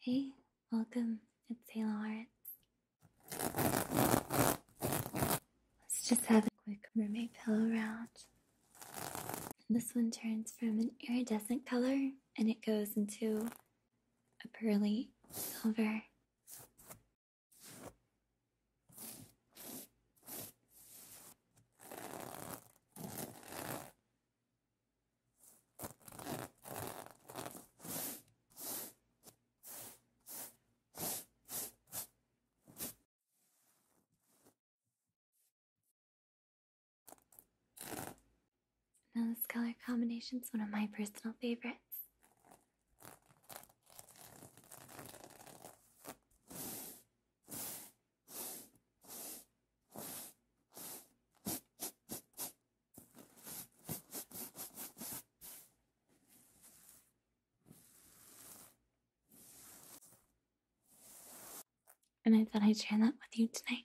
Hey, welcome. It's Halo Arts. Let's just have a quick roommate pillow round. This one turns from an iridescent color and it goes into a pearly silver. Now, this color combination is one of my personal favorites. And I thought I'd share that with you tonight.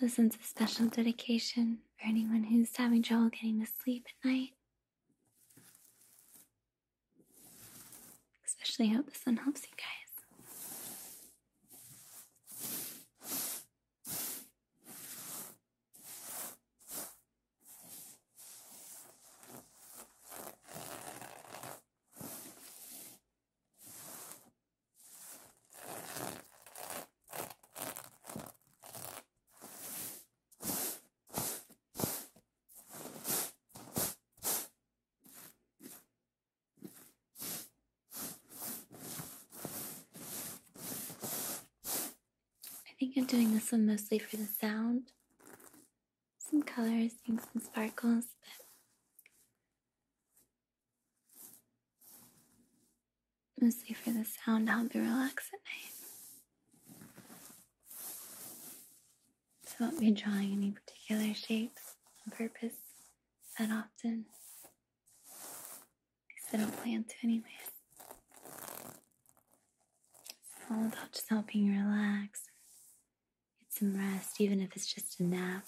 this is a special dedication for anyone who's having trouble getting to sleep at night. Especially how this one helps you guys. I think I'm doing this one mostly for the sound. Some colors, things, and sparkles, but mostly for the sound to help me relax at night. I won't be drawing any particular shapes on purpose that often. Because I don't plan to anyway. It's all about just helping you relax. Get some rest, even if it's just a nap.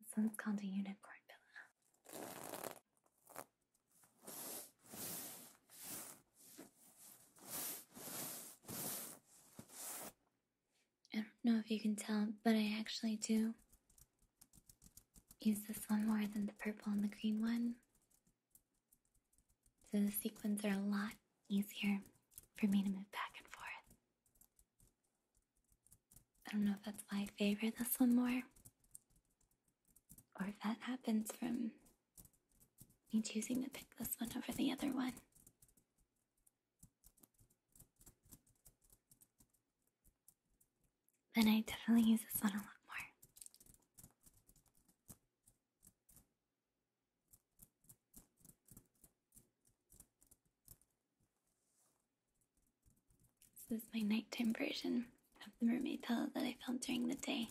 This one's called a unicorn pillow. I don't know if you can tell, but I actually do use this one more than the purple and the green one. So the sequins are a lot easier for me to move back and forth. I don't know if that's why I favor this one more, or if that happens from me choosing to pick this one over the other one. Then I definitely use this one a lot more. This is my nighttime version of the mermaid pillow that I found during the day.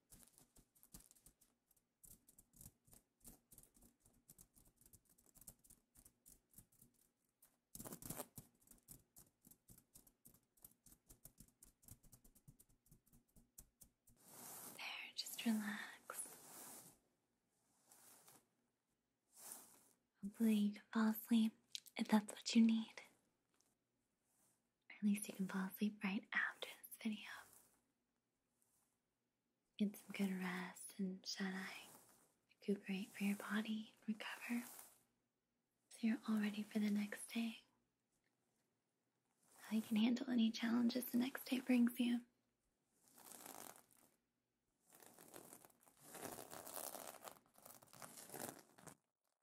There, just relax. Hopefully, you can fall asleep if that's what you need. Or at least you can fall asleep right after this video. Get some good rest and shut eye. Recuperate for your body, recover. So you're all ready for the next day. How you can handle any challenges the next day brings you.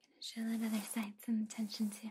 Gonna show that other side some attention too.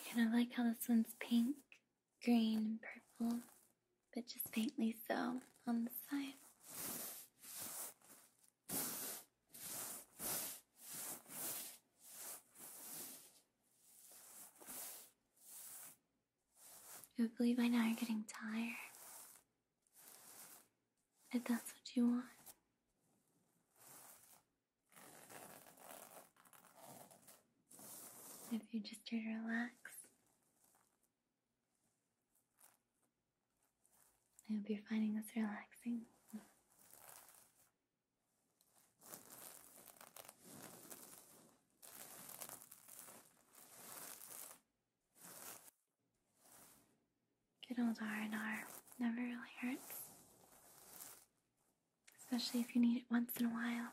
I kind of like how this one's pink, green, and purple, but just faintly so on the side. Hopefully, by now you're getting tired. If that's what you want. If you just try to relax, I hope you're finding this relaxing. Good old R&R never really hurts, especially if you need it once in a while.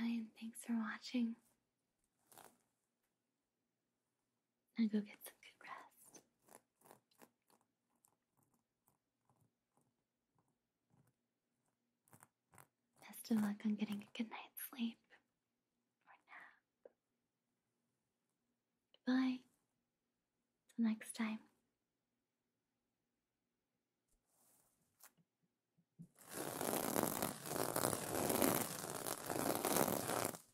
Bye thanks for watching. And go get some good rest. Best of luck on getting a good night's sleep or nap. Goodbye. Till next time.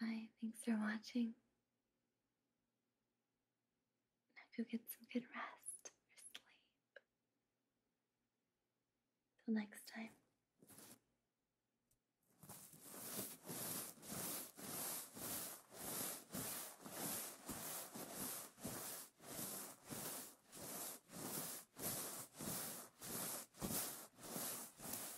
Bye, thanks for watching. Now go get some good rest or sleep. Till next time.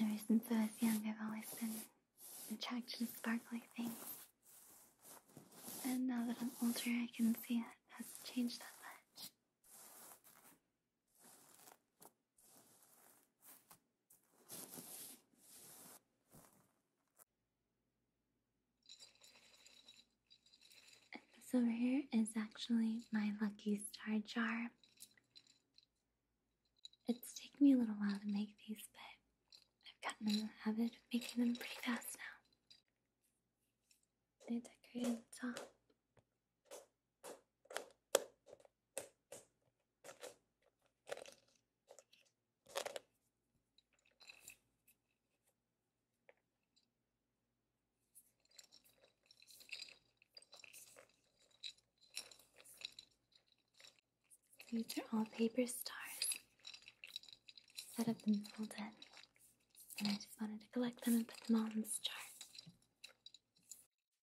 Ever since I was young, I've always been attracted to sparkly things. And now that I'm older, I can see it hasn't changed that much. And this over here is actually my Lucky Star jar. It's taken me a little while to make these, but I've gotten in the habit of making them pretty fast now. They decorate the top. These are all paper stars set up in the middle and I just wanted to collect them and put them all in this chart.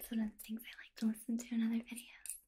It's one of the things I like to listen to in other videos.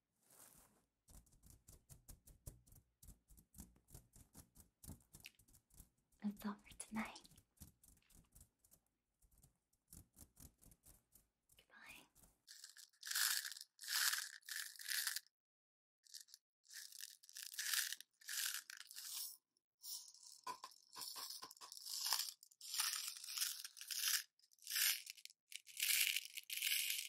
That's all for tonight. Goodbye.